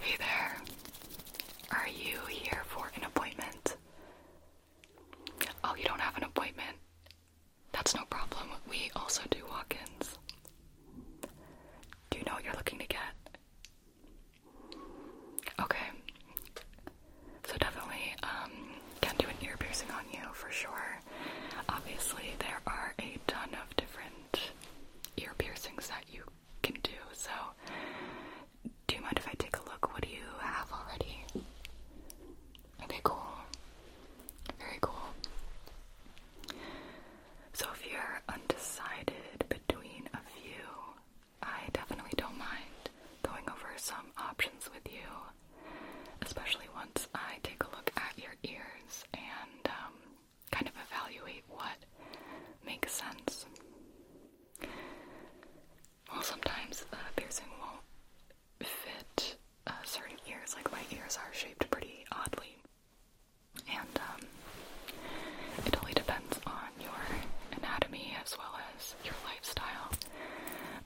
Hey there. Are you here for an appointment? Oh, you don't have an appointment? That's no problem. We also do walk ins. Do you know what you're looking to get? Okay. So, definitely um, can do an ear piercing on you for sure. Obviously, there are a ton of different ear piercings that you can do. So, do you mind if I take a look? What do you have already? Okay, cool. Very cool. So, if you're undecided between a few, I definitely don't mind going over some options with you, especially once I take a look at your ears and um, kind of evaluate what makes sense. Well, sometimes uh, piercing won't fit uh, certain ears, like my ears are shaped pretty oddly. And um, it only depends on your anatomy as well as your lifestyle.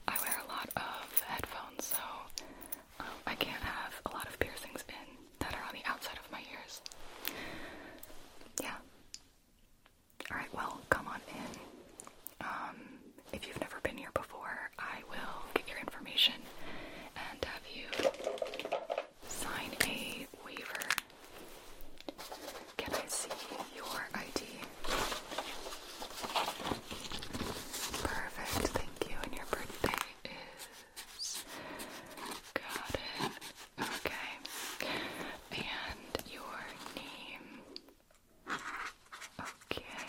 I wear a lot of headphones, so um, I can't have a lot of piercings in that are on the outside of my ears. Yeah. Alright, well, come on in. Um, if you've never been here before, I will get your information and have you sign a waiver. Can I see your ID? Perfect, thank you. And your birthday is. Got it. Okay. And your name. Okay.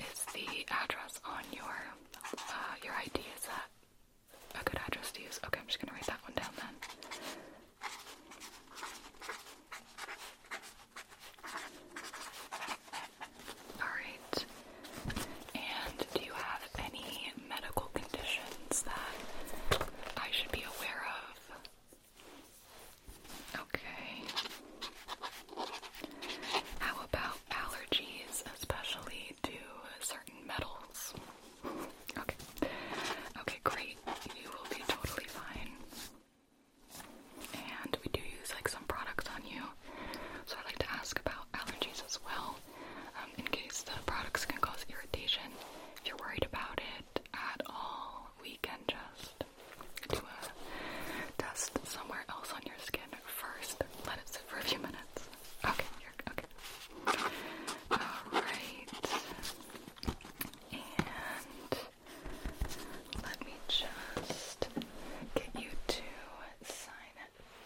Is the address on your uh, your ID? Is that a good address to use? Okay, I'm just gonna write that one down then. All right. And do you have any medical conditions that I should be aware of? Okay. How about allergies, especially to certain metals? Okay. Okay, great. You will be totally fine. And we do use like some products on you so I'd like to ask about allergies as well, um, in case the products can cause irritation. If you're worried about it at all, we can just do a test somewhere else on your skin first. Let it sit for a few minutes. Okay, you're okay. Alright. And let me just get you to sign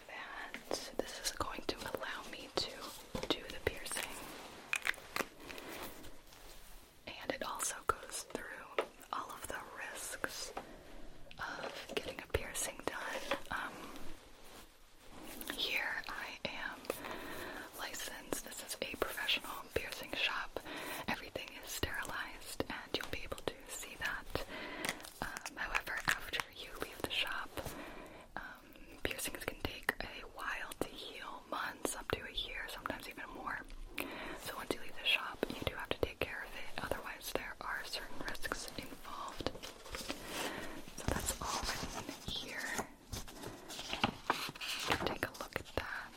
that this is going to allow me to do the piercing. And it also goes through all of the risks of getting a piercing done. Um, here I am licensed. This is a professional piercing shop. Everything is sterilized, and you'll be able to see that. Um, however, after after you leave the shop. Um, piercings can take a while to heal, months, up to a year, sometimes even more. So once you leave the shop, you do have to take care of it, otherwise there are certain risks involved. So that's all written here. Take a look at that.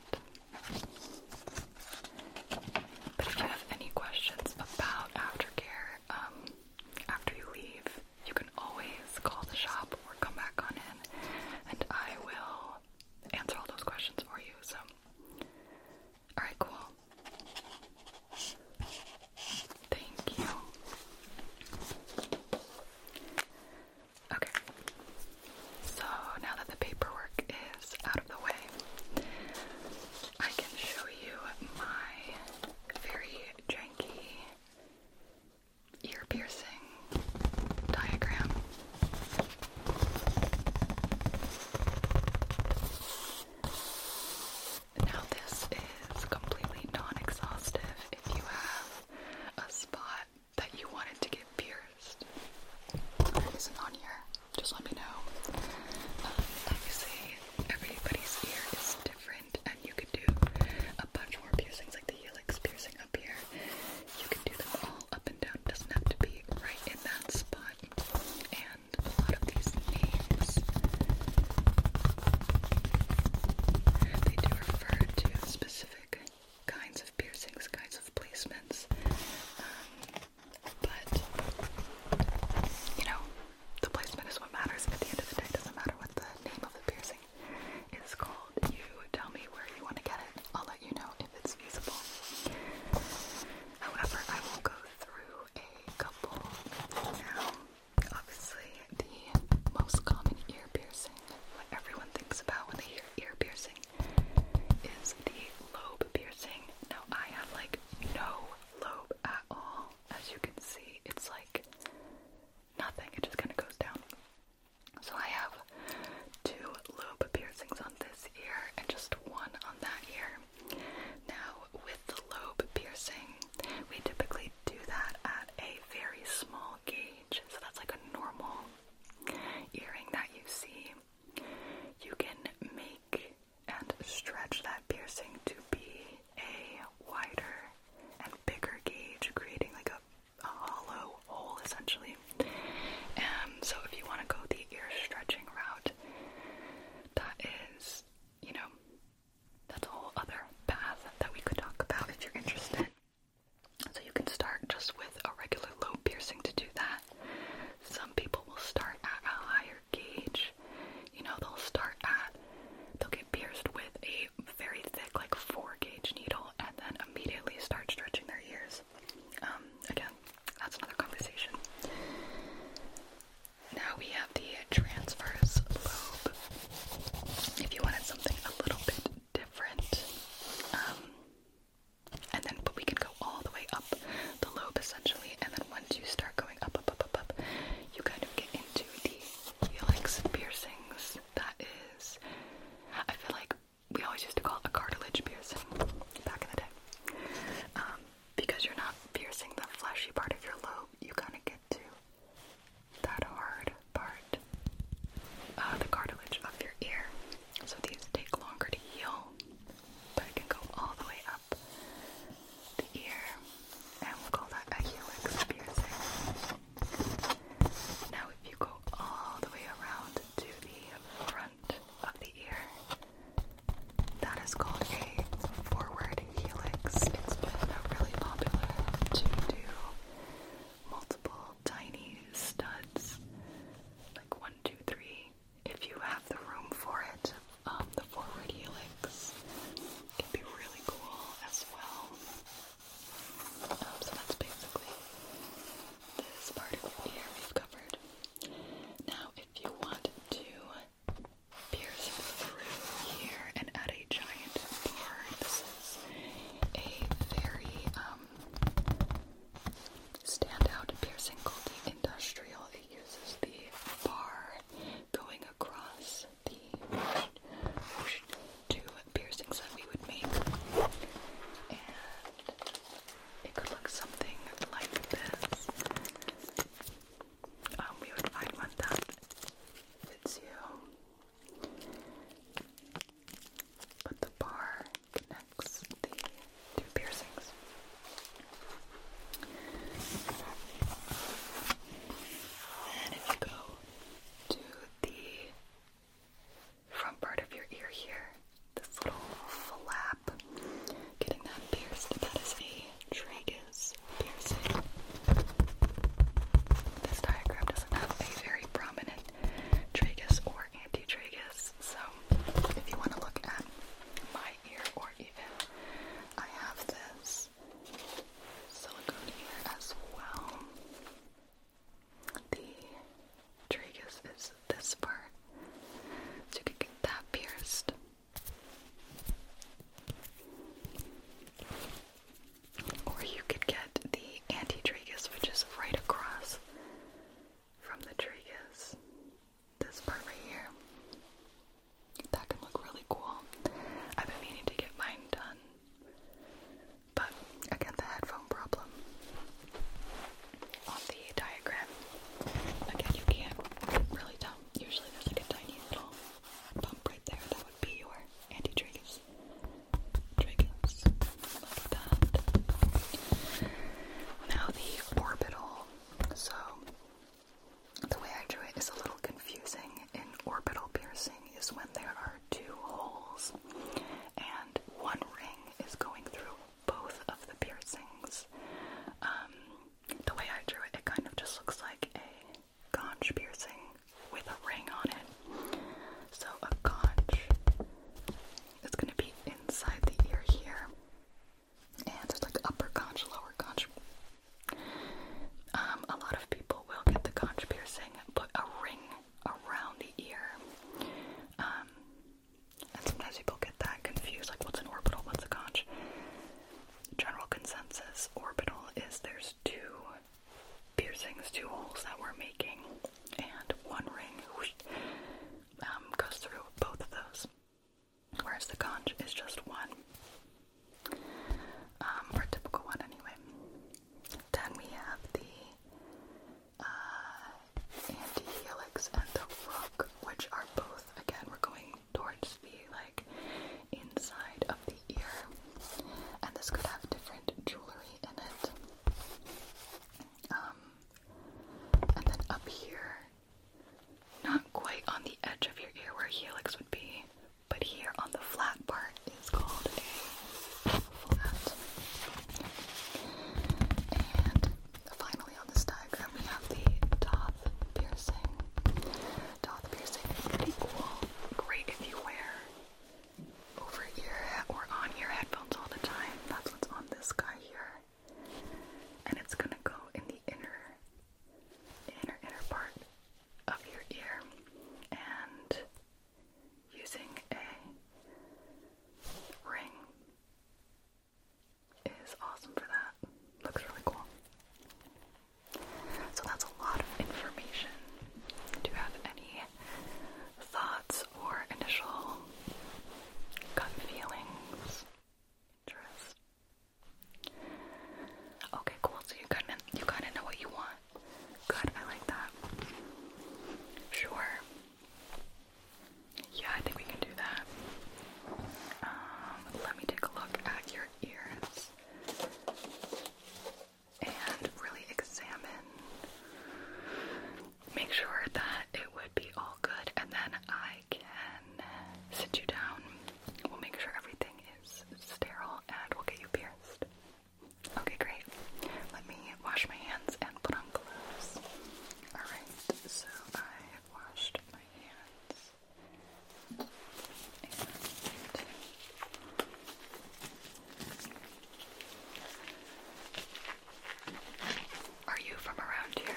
But if you have any questions about aftercare, um, after you leave, you can always call the shop or come back on in, and I will answer all those questions for you. So, all right, cool. Thank you. Okay, so now that the paperwork is out of the way, I can show you my very janky ear piercing diagram. Now, this is completely non exhaustive if you have a spot that you wanted to get pierced. That isn't on here. Just let me know. obviously, uh, everybody's ear different, and you could do a bunch more piercings, like the helix piercing up here. You can do them all up and down, it doesn't have to be right in that spot. And a lot of these names they do refer to specific kinds of piercings, kinds of placements. Um, but you know, the placement is what matters. At the end of the day, it doesn't matter what the name of the piercing is called. You tell me where you want to get it. I'll let you know if it's feasible. However, I will go through a couple now. Obviously, the most common ear piercing, what everyone thinks about when they hear ear piercing, is the lobe piercing. Now, I have like no lobe at all as you can see, it's like nothing, it just kind of goes down. So I have two lobe piercings on this ear and just one on that ear. Now, with the lobe piercing, we typically do that at a very small gauge, so that's like a normal earring that you see. You can make and stretch that piercing to be a wider and bigger gauge, creating like a, hollow hole essentially. And so, if you want to go the ear stretching route, that is, you know, that's a whole other path that we could talk about if you're interested. So, you can start just with a regular low piercing to do that. Some people will start at a higher gauge. You know, they'll start at, they'll get pierced with a very thick, like four gauge needle, and then immediately start stretching their ears. Um, again, that's another conversation. Now we have the transverse lobe. If you wanted something a little bit different, um, and then but we can go all the way up the lobe essentially, and then once you start going up, up, up up, up, up, you kind of get into the helix piercings. That is, I feel like we always used to call it a cartilage piercing back in the day. Um, because you're not piercing the fleshy part of your lobe, you kind of get to that hard part, uh, the cartilage of your ear. So these take longer to heal, but it can go all the way up the ear, and we'll call that a helix piercing. Now, if you go all the way around to the front of the ear, that is called a forward helix. It's has really popular to do multiple tiny studs, like one, two, three, if you have the room for it. Um, the forward helix can be really cool as well. Um, so that's basically this part of we've covered. Now, if you want to pierce through here and add a giant bar, this is a very um, standout piercing called the industrial. It uses the bar going across the two piercings that we would make, and it could look something like this. Um, we would find one that fits you, but the bar connects the two piercings. And if you go to the front part of your ear here, this little flap, getting that pierced, that is a tragus piercing. This diagram doesn't have a very prominent tragus or antitragus, so if you want to look at my ear or even I have this silicone here as well. The tragus is this part, so you can get that pierced. Or you could get the antitragus, which is right across from the tragus. This part right here. That can look really cool. I've been meaning to get mine done, but again, the headphone problem. On the diagram, again, you can't really tell. Usually, there's like a tiny little bump right there. That would be your anti-triggers. like that. Now the orbital. So the way I drew it is a little confusing. In orbital piercing is when there are two holes and one ring is going through both of the piercings. Um, the way I drew it, it kind of just looks like a conch piercing with a ring on it. So a conch is going to be inside the ear here. And there's like upper conch, lower conch, um, a lot of people will get the conch piercing, put a ring around the ear. Um, and sometimes people get that confused, like what's an orbital, what's a conch. General consensus orbital is there's two piercings, two holes that we're making, and one ring um, goes through both of those whereas the conch is just one, um, or a typical one anyway. Then we have the uh, anti-helix and the rook, which are both, again, we're going towards the, like, inside of the ear, and this could have different jewelry in it. Um, and then up here, not quite on the edge of your ear where helix would be, but here on the flat part is called a flat. And finally on this diagram we have the doth piercing. Doth piercing is pretty cool. Great if you wear over ear or on ear headphones all the time. That's what's on this guy here. And it's gonna go in the inner inner inner part of your ear and using a ring is awesome for that. Looks really cool. So that's a lot of information. Do you have any thoughts or initial gut feelings? Interest? Okay, cool. So you kind of you kind of know what you want. Good, I like that. Sure. Yeah, I think we can do that. Um, let me take a look at your ears and really examine. Make sure that it would be all good, and then I can sit you down. We'll make sure everything is sterile and will get you pierced. Okay, great. Let me wash my hands and put on gloves. Alright, so I have washed my hands. are you from around here?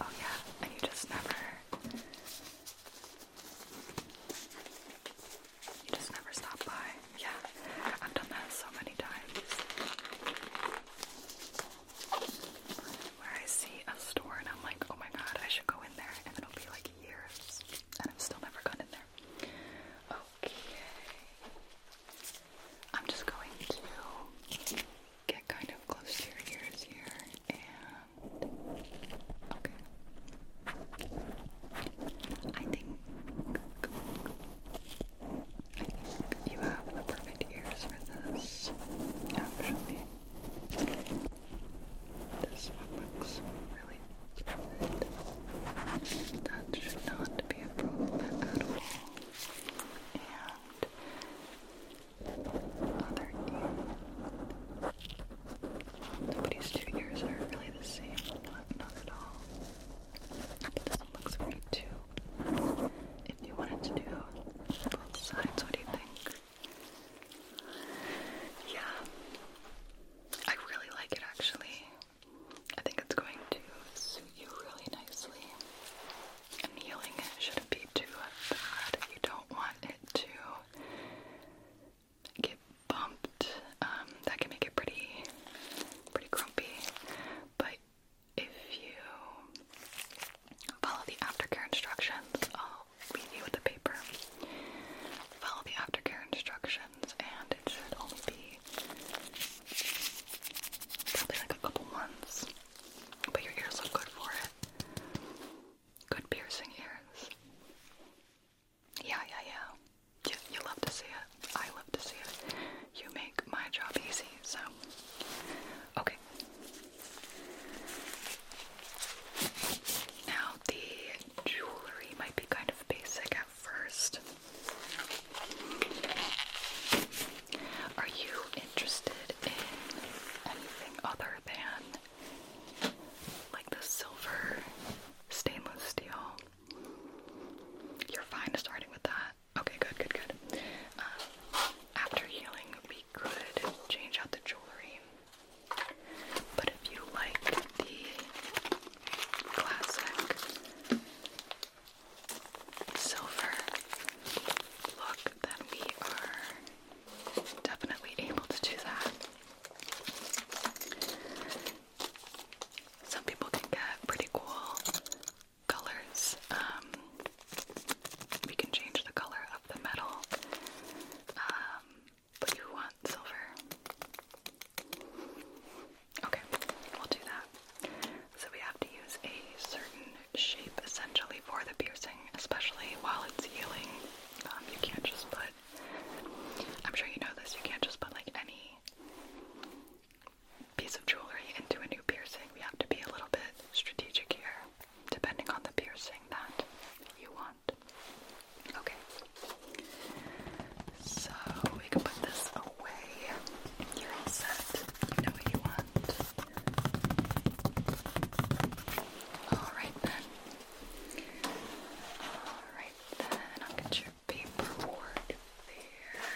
Oh yeah, and you just never you just never stop by. Yeah, I've done that so many times. Where I see a store and I'm like, oh my god, I should go in there, and it'll be like years, and I've still never gone in there. Okay. I'm just going to get kind of close to your ears here and okay. I think I think you have the perfect ears for this, actually. This one looks really good. That should not be a problem at all. And Nobody's two ears are really the same, not, not at all. this one looks pretty too. If you wanted to do both sides, what do you think? Yeah, I really like it actually. I think it's going to suit you really nicely and healing shouldn't be too bad. You don't want it to get bumped. Um, that can make it pretty, pretty grumpy. But if you follow the aftercare instructions, I'll leave you with the paper. Follow the aftercare instructions, and it should only be probably like a couple months. But your ears look good for it. Good piercing ears. Yeah, yeah, yeah. You, love to see it. I love to see it. You make my job easy, so. Okay. Now, the jewelry might be kind of basic at first. Are you interested in anything other than like the silver stainless steel. You're fine starting with that. Okay, good, good, good. Uh, after healing, we could change out the jewelry. But if you like the classic silver look, then we are definitely able to do that. Some people can get pretty cool colors. Um, we can change the color of the metal, um, but you want silver. Okay, we'll do that. So we have to use a certain shape essentially for the piercing, especially while it's healing. Um, you can't just put, I'm sure you know this, you can't just put like any piece of jewelry into a new piercing. We have to be a little bit strategic here, depending on the piercing that you want. Okay. So we can put this away. You're all set. know what you want. Alright then. Alright then. I'll get your paperwork there.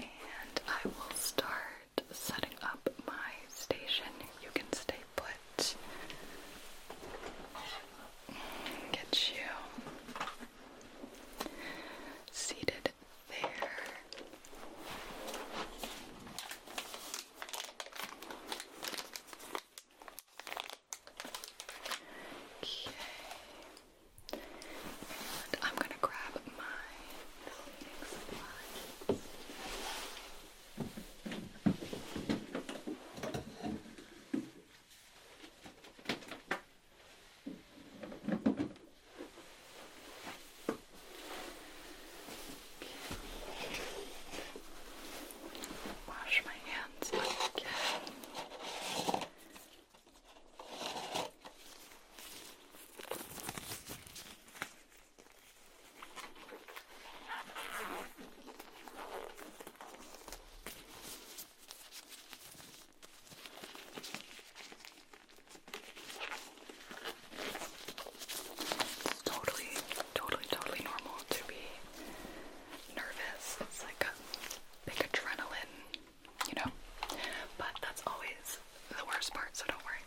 And I will start setting up my station. You can stay put. Get you seated there. Okay. And I'm going to grab my cleaning supplies. Okay. Wash my hands again. Okay. It's totally, totally, totally normal to be nervous. It's like a big adrenaline, you know? But that's always the worst part, so don't worry.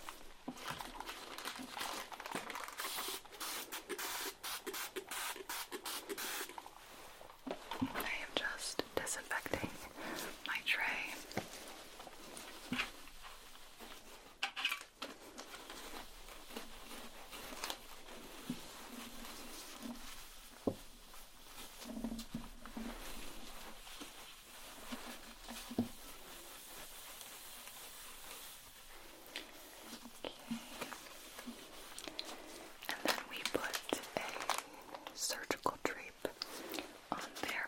I am just disinfecting my tray. And then we put a surgical drape on there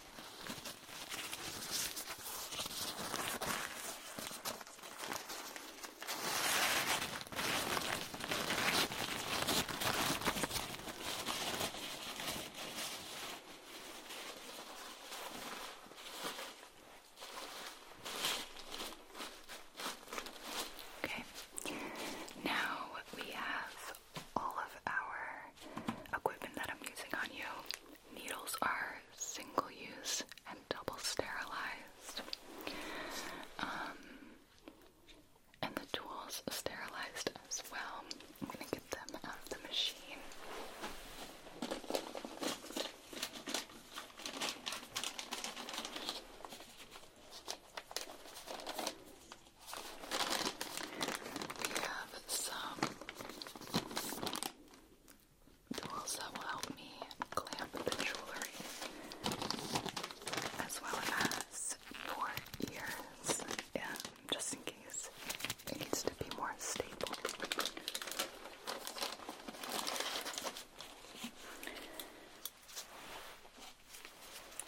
Okay, now we have all of our equipment that I'm using on you. Needles are single use and double sterilized. Um, and the tools sterilized as well. I'm going to get them out of the machine. We have some Tools that will help me clamp the jewelry as well as for ears, um, just in case it needs to be more stable.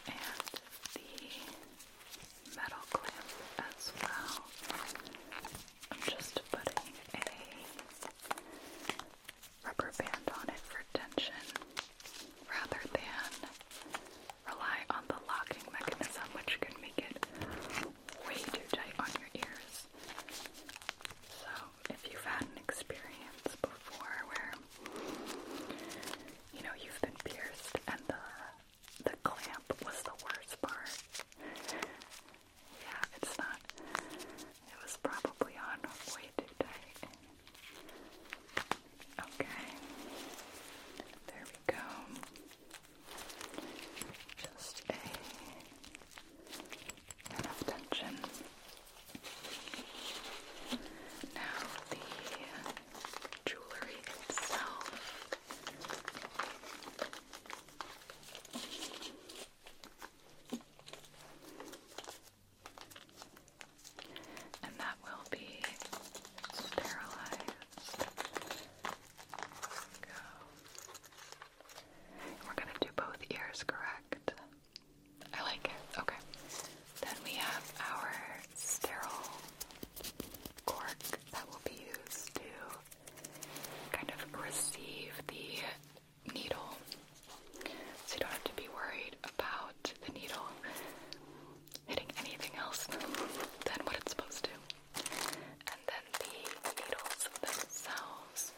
And the metal clamp as well. I'm just putting a rubber band on it for tension rather than rely on the locking mechanism, which can make it way too tight on your ears. So, if you've had an experience before where you know you've been pierced and the the clamp was the worst part. Yeah, it's not. It was probably on way too tight. Okay. There we go. Just enough tension. Now the jewelry itself. And that will be sterilized. Go. We're going to do both ears, correct? I like it. Okay. Then we have our sterile cork that will be used to kind of receive the needle. So you don't have to be worried about the needle hitting anything else than what it's supposed to. And then the needles themselves,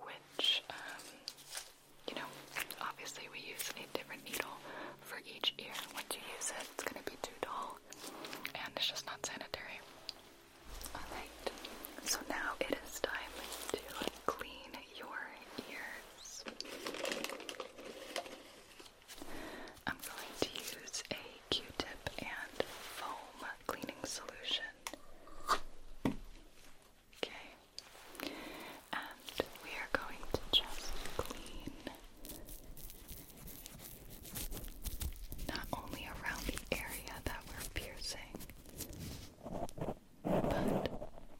which, um, you know, obviously we use a different needle for each ear. Once you use it, it's going to be too dull and it's just not sanitary. Alright, so now it is time to clean your ears. I'm going to use a q tip and foam cleaning solution. Okay, and we are going to just clean not only around the area that we're piercing, but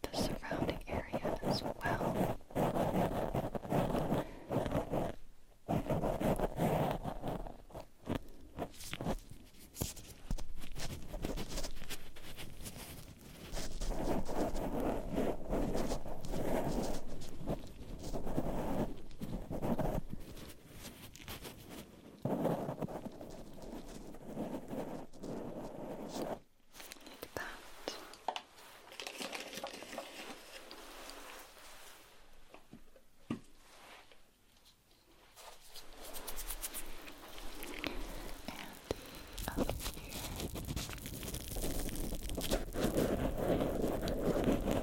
the surrounding area as well. Like that. And the other ear.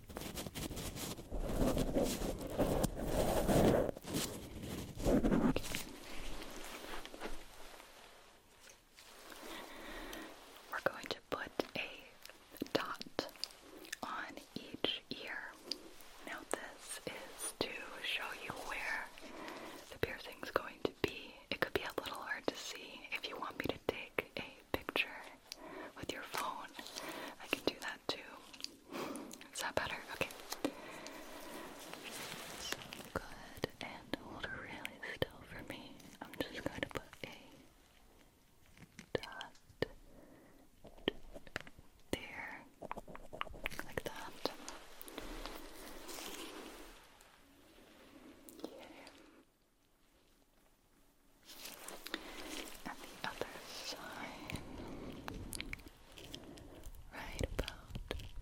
We're going to put a dot on each ear. Now, this is to show you where the is going to be. It could be a little hard to see. If you want me to take a picture with your phone, I can do that too. Is that better? Okay. So good. And hold really still for me. I'm just going to put a dot there, like that. Yeah and the other side right about there,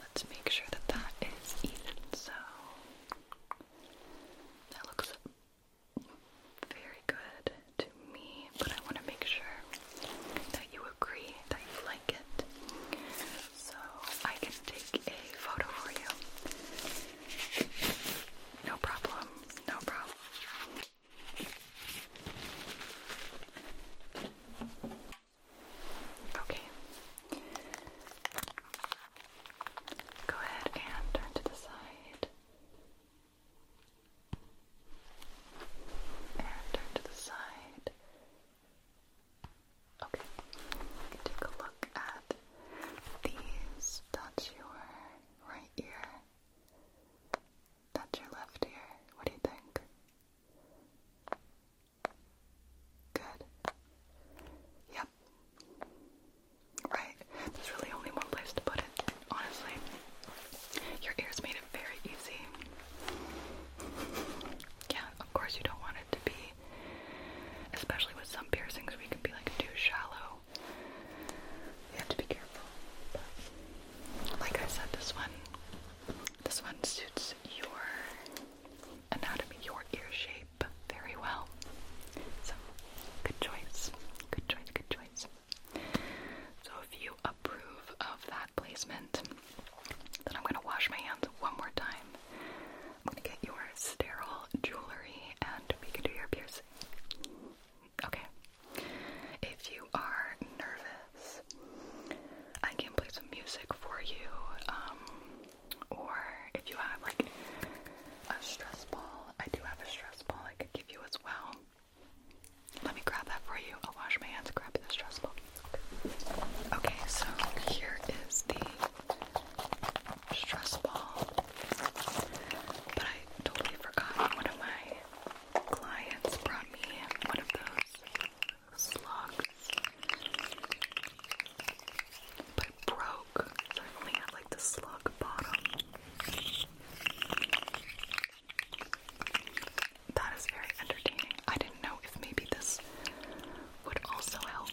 let's make sure that that is even so that looks very good to me, but I want to make sure that you agree that you like it so I can take a photo for you. No problem, no problem. Okay. Go ahead and turn to the side. And turn to the side. Okay, take a look at these. Touch your right ear. Touch your left ear. What do you think? Good. Yep. Right. There's really only one place to put it, honestly. Your ears made it very easy. Yeah, of course you don't want it to be Especially with some piercings, we can be like too shallow. You have to be careful. like I said, this one, this one suits your anatomy, your ear shape very well. So, good choice. Good choice. Good choice. So, if you approve of that placement, then I'm going to wash my hands one more time I'm gonna get your sterile jewelry and we can do your piercing. Okay. If you are nervous, I can play some music for you. Um, or if you have like a stress ball, I do have a stress ball I could give you as well. Let me grab that for you. I'll wash my hands, grab the stress ball. Okay, so here is the stress ball. But I totally forgot one of my clients brought me one of those slugs. But it broke, so I like the slug bottom. That is very entertaining. I didn't know if maybe this would also help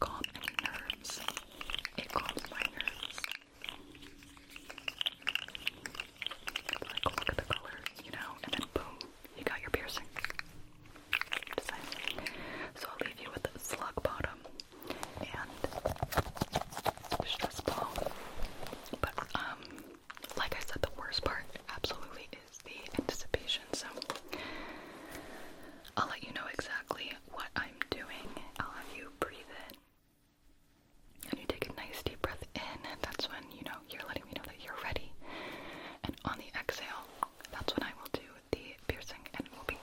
calm my nerves. It calms my nerves. Like, look at the color, you know, and then boom, you got your piercing. So I'll leave you with slug bottom and stress ball. But um, like I said, the worst part absolutely is the anticipation. So I'll let you know exactly what I'm doing. I'll have you breathe in. And you take a nice deep breath in, and that's when you know you're letting me know that you're ready. And on the exhale, that's when I will do the piercing, and it will be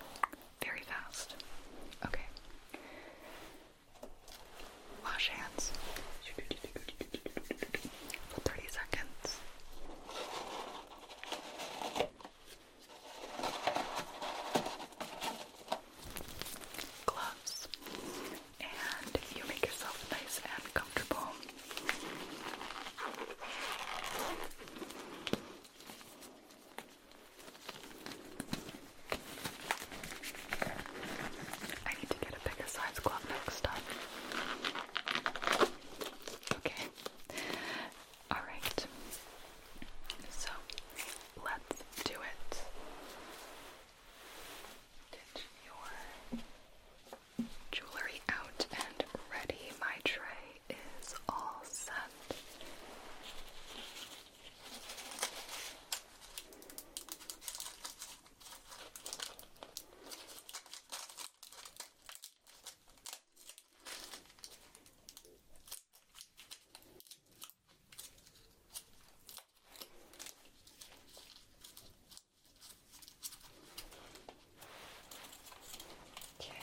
very fast. Okay. Wash hands for 30 seconds gloves, and you make yourself nice and comfortable. I need to get a bigger size glove next time. Okay. Alright, so let's do it. Get your jewelry out and ready. My tray is all set. Okay.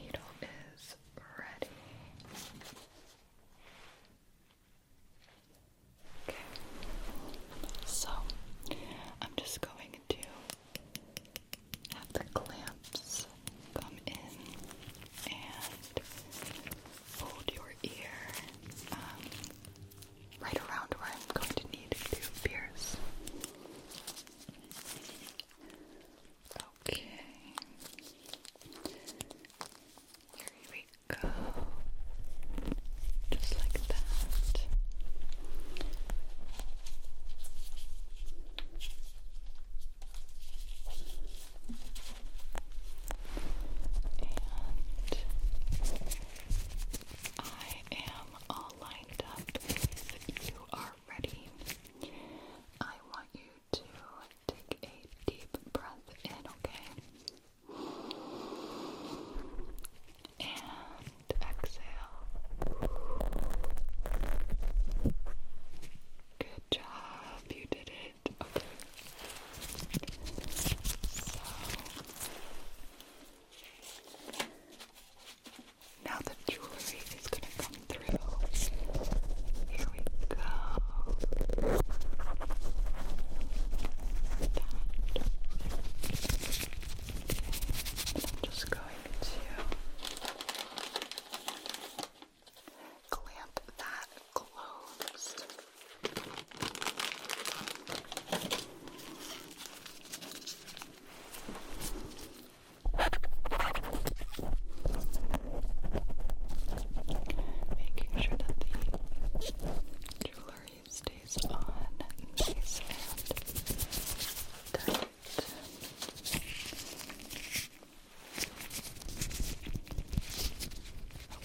Needle is ready. Okay. So, I'm just going to have the clamps come in and hold your ear um, right around where I'm going to need to pierce. Okay. Here we go. Just like that. I am all lined up. If you are ready, I want you to take a deep breath in, okay? and exhale. Good job, you did it. Okay. So now the jewelry is going to come through. Here we go. I'm just going to clamp that closed. Making sure that the jewelry body stays on, nice and tight.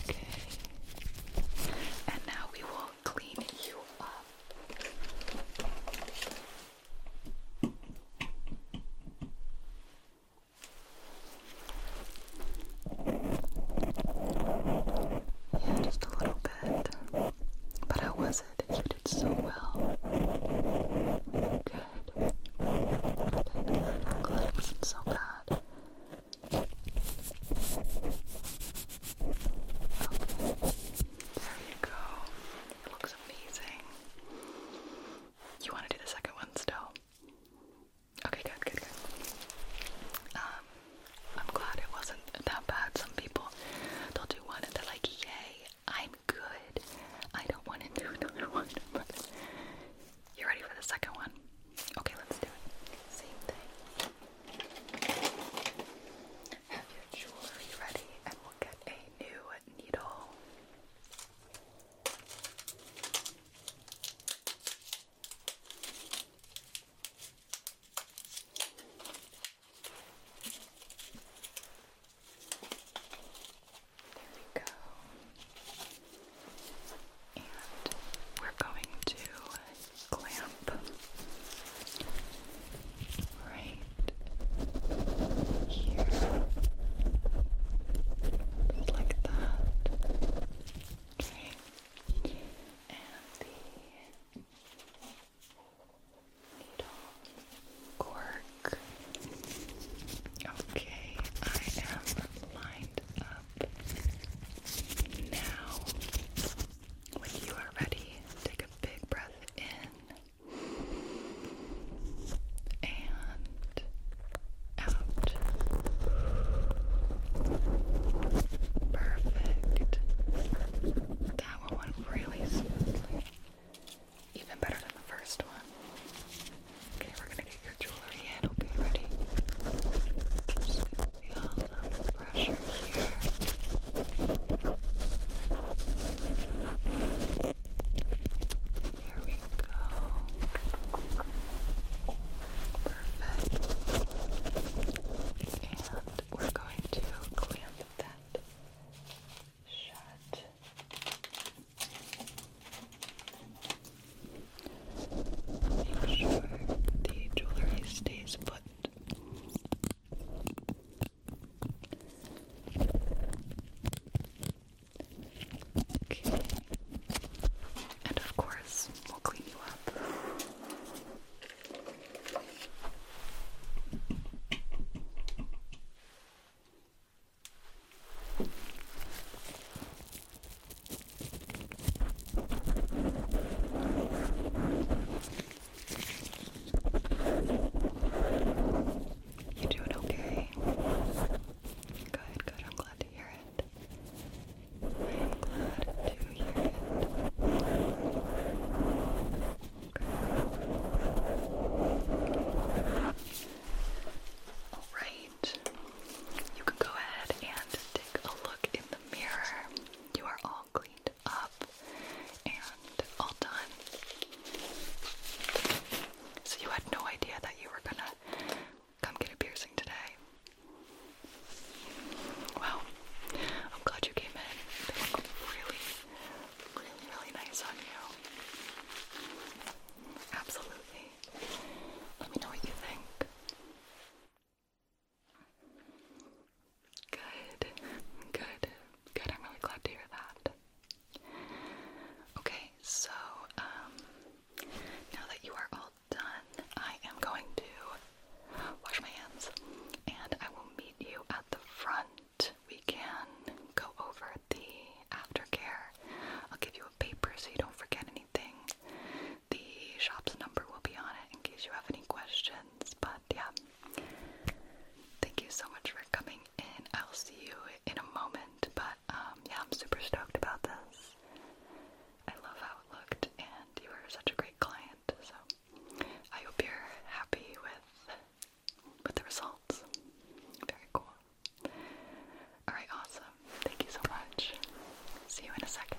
Okay. And now we will clean you up. Yeah, just a little bit. But I was said that you did so well. Good. Good. wasn't so bad. There you go. It looks amazing. You want to do the second one still? Okay, good, good, good. Um, I'm glad it wasn't that bad. Some people, they'll do one and they're like, yay, I'm good. I don't want to do another one. But you ready for the second one? Okay, let's do it. Same thing. Have your jewelry ready and we'll get a new needle. There we go. And we're going to clamp right here. Just like that. Okay. And the cork. Okay, I am lined up now. When you are ready, take a big breath in and out. Perfect that one went really smoothly. Even better than the first one. Okay, we're gonna get your jewelry in. ready? Just feel the pressure here. There we go. Perfect. And we're going to clamp that shut. Make sure the jewelry stays buttoned. Okay. And of course, we'll clean you up. You doing okay? Good, good. I'm glad to hear it. glad to hear it. Alright, you can go ahead and take a look in the mirror. You are all cleaned up and all done. So, you had no idea that you were gonna come get a piercing today. Well, I'm glad you came in. They look really, really, really nice on you. Absolutely. Let me know what you think. Good, good, good. I'm really glad to hear that. Okay, so um, now that you are all done, I am going to wash my hands and I will meet you at the front we can go over the aftercare. I'll give you a paper so you don't forget anything. The shop's number will be on it in case you have any questions. But yeah, thank you so much for coming in. I'll see you in a moment. But um, yeah, I'm super stoked about this. I love how it looked, and you were such a great client. So I hope you're happy with with the results. Very cool. Alright, awesome. Thank you so much. See you in a second.